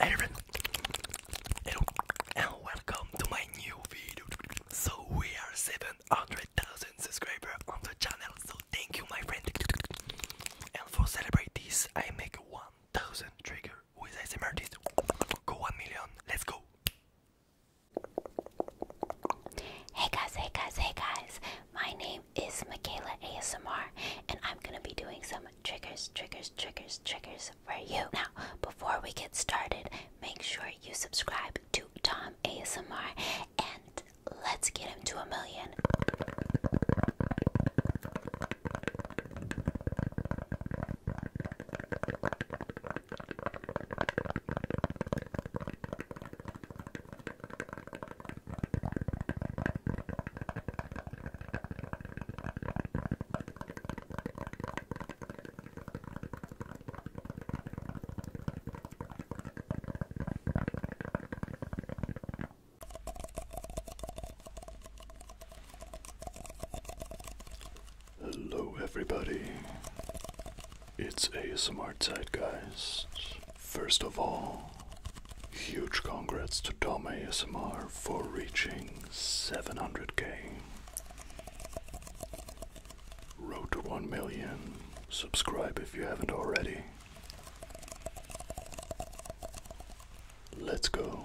Hey everyone, and welcome to my new video. So we are 700,000 subscribers on the channel, so thank you my friend. And for celebrate this, I make 1000 trigger with ASMR artist. Go 1 million, let's go! Hey guys, hey guys, hey guys! My name is Michaela ASMR and I'm gonna be doing some triggers, triggers, triggers, triggers for you. Now, before we get started, make sure you subscribe to Tom ASMR and let's get him to a million. Hello, everybody. It's ASMR Zeitgeist. First of all, huge congrats to Tommy ASMR for reaching 700k. Road to 1 million. Subscribe if you haven't already. Let's go.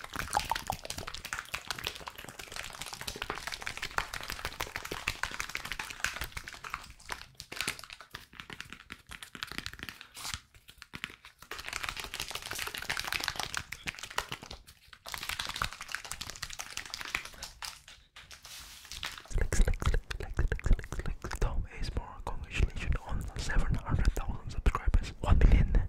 Slick, slick, slick, slick, slick, slick, slick. Tom Ace Moore, congratulations on 700,000 subscribers. 1 million.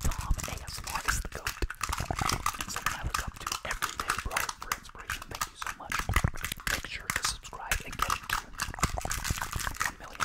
Tom ASMR is the goat. And someone I look up to every day, bro, for inspiration. Thank you so much. Make sure to subscribe and get into 1 million.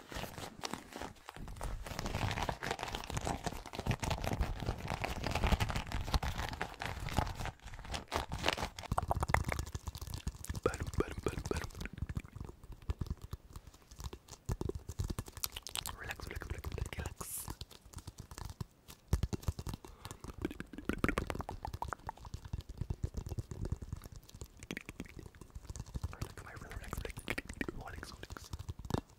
Relax, relax, relax, relax. Relax, my relax, relax, relax, relax.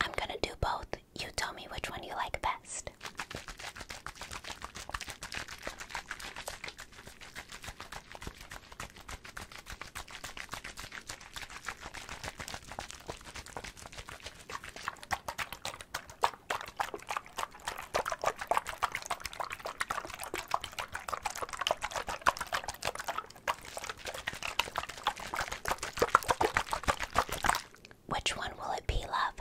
I'm gonna do both. You tell me which one you like best. Which one will it be, love?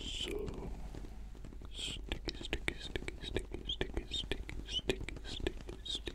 So sticky, sticky, sticky, sticky, sticky, sticky, sticky, sticky, sticky, sticky.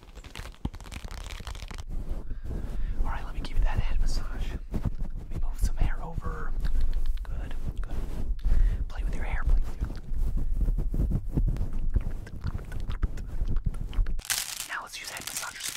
All right, let me give you that head massage. Let me move some hair over. Good, good. Play with your hair, Now let's use head massagers.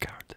Carrot.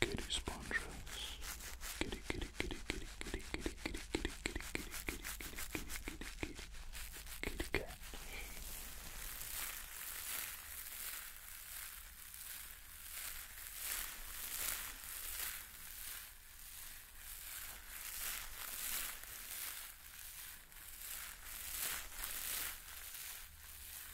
kitty sponges. Kitty, kitty, kitty, kitty, kitty, kitty, kitty, kitty, kitty, kitty, kitty, kitty, kitty, kitty, kitty cat. Kitty cat.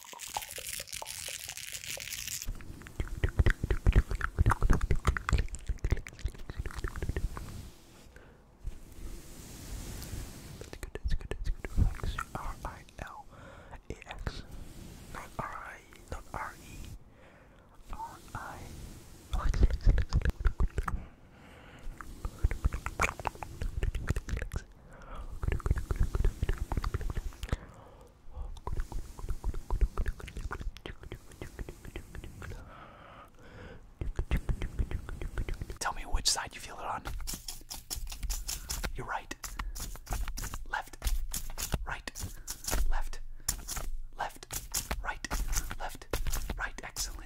That's good, that's good, that's good. Relax. R I L A X. Not R I, not R E. R I. Relax, relax, relax, relax. Relax. Tell me which side you feel it on. You're right. Left. Right. Left. Left. Right. Left. Right. Excellent.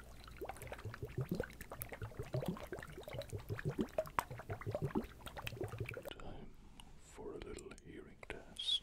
Time for a little hearing test.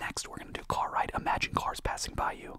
Next, we're going to do car ride. Imagine cars passing by you.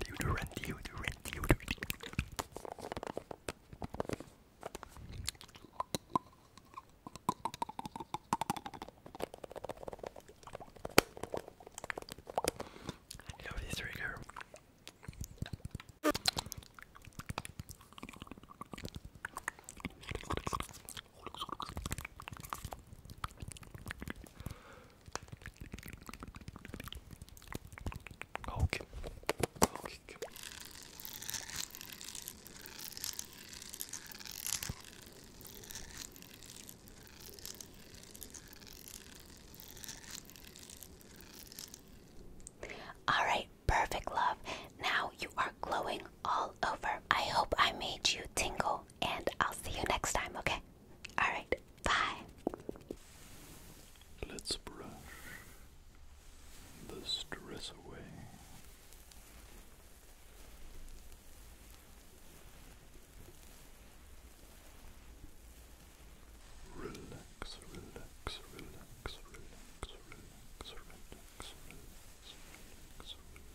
Deodorant, deodorant, deodorant. I love this trigger. Okay. Okay. All right, perfect love. Now you are glowing all over. I hope I made you tingle, and I'll see you next time, okay? Alright, bye. Let's brush the stress away. relax, relax, relax, relax, relax, relax, relax, relax,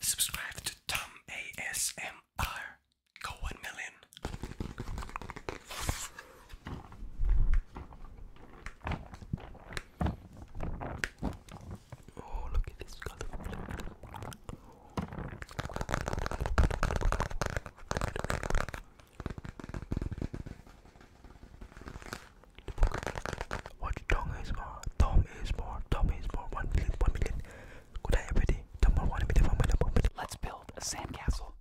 Subscribe to Tom ASMR. Go one million. Oh, what tongue is more? Tom is more. Tom is more. One million. One million. Good day, everybody. Tom one million. One million. One million. Let's build a sandcastle.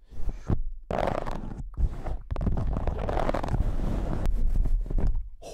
Oh.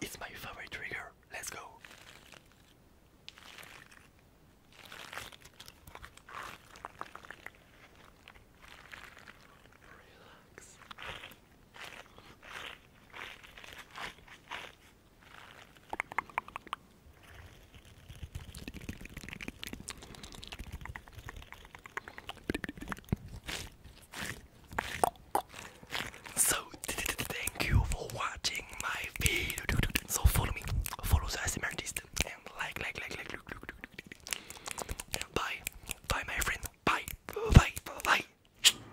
It's my favorite trigger. Let's go. Relax. So thank you for watching my video. So follow me, follow the ASMR artist, and like, like, like, like, and bye, bye, my friend, bye, bye, bye.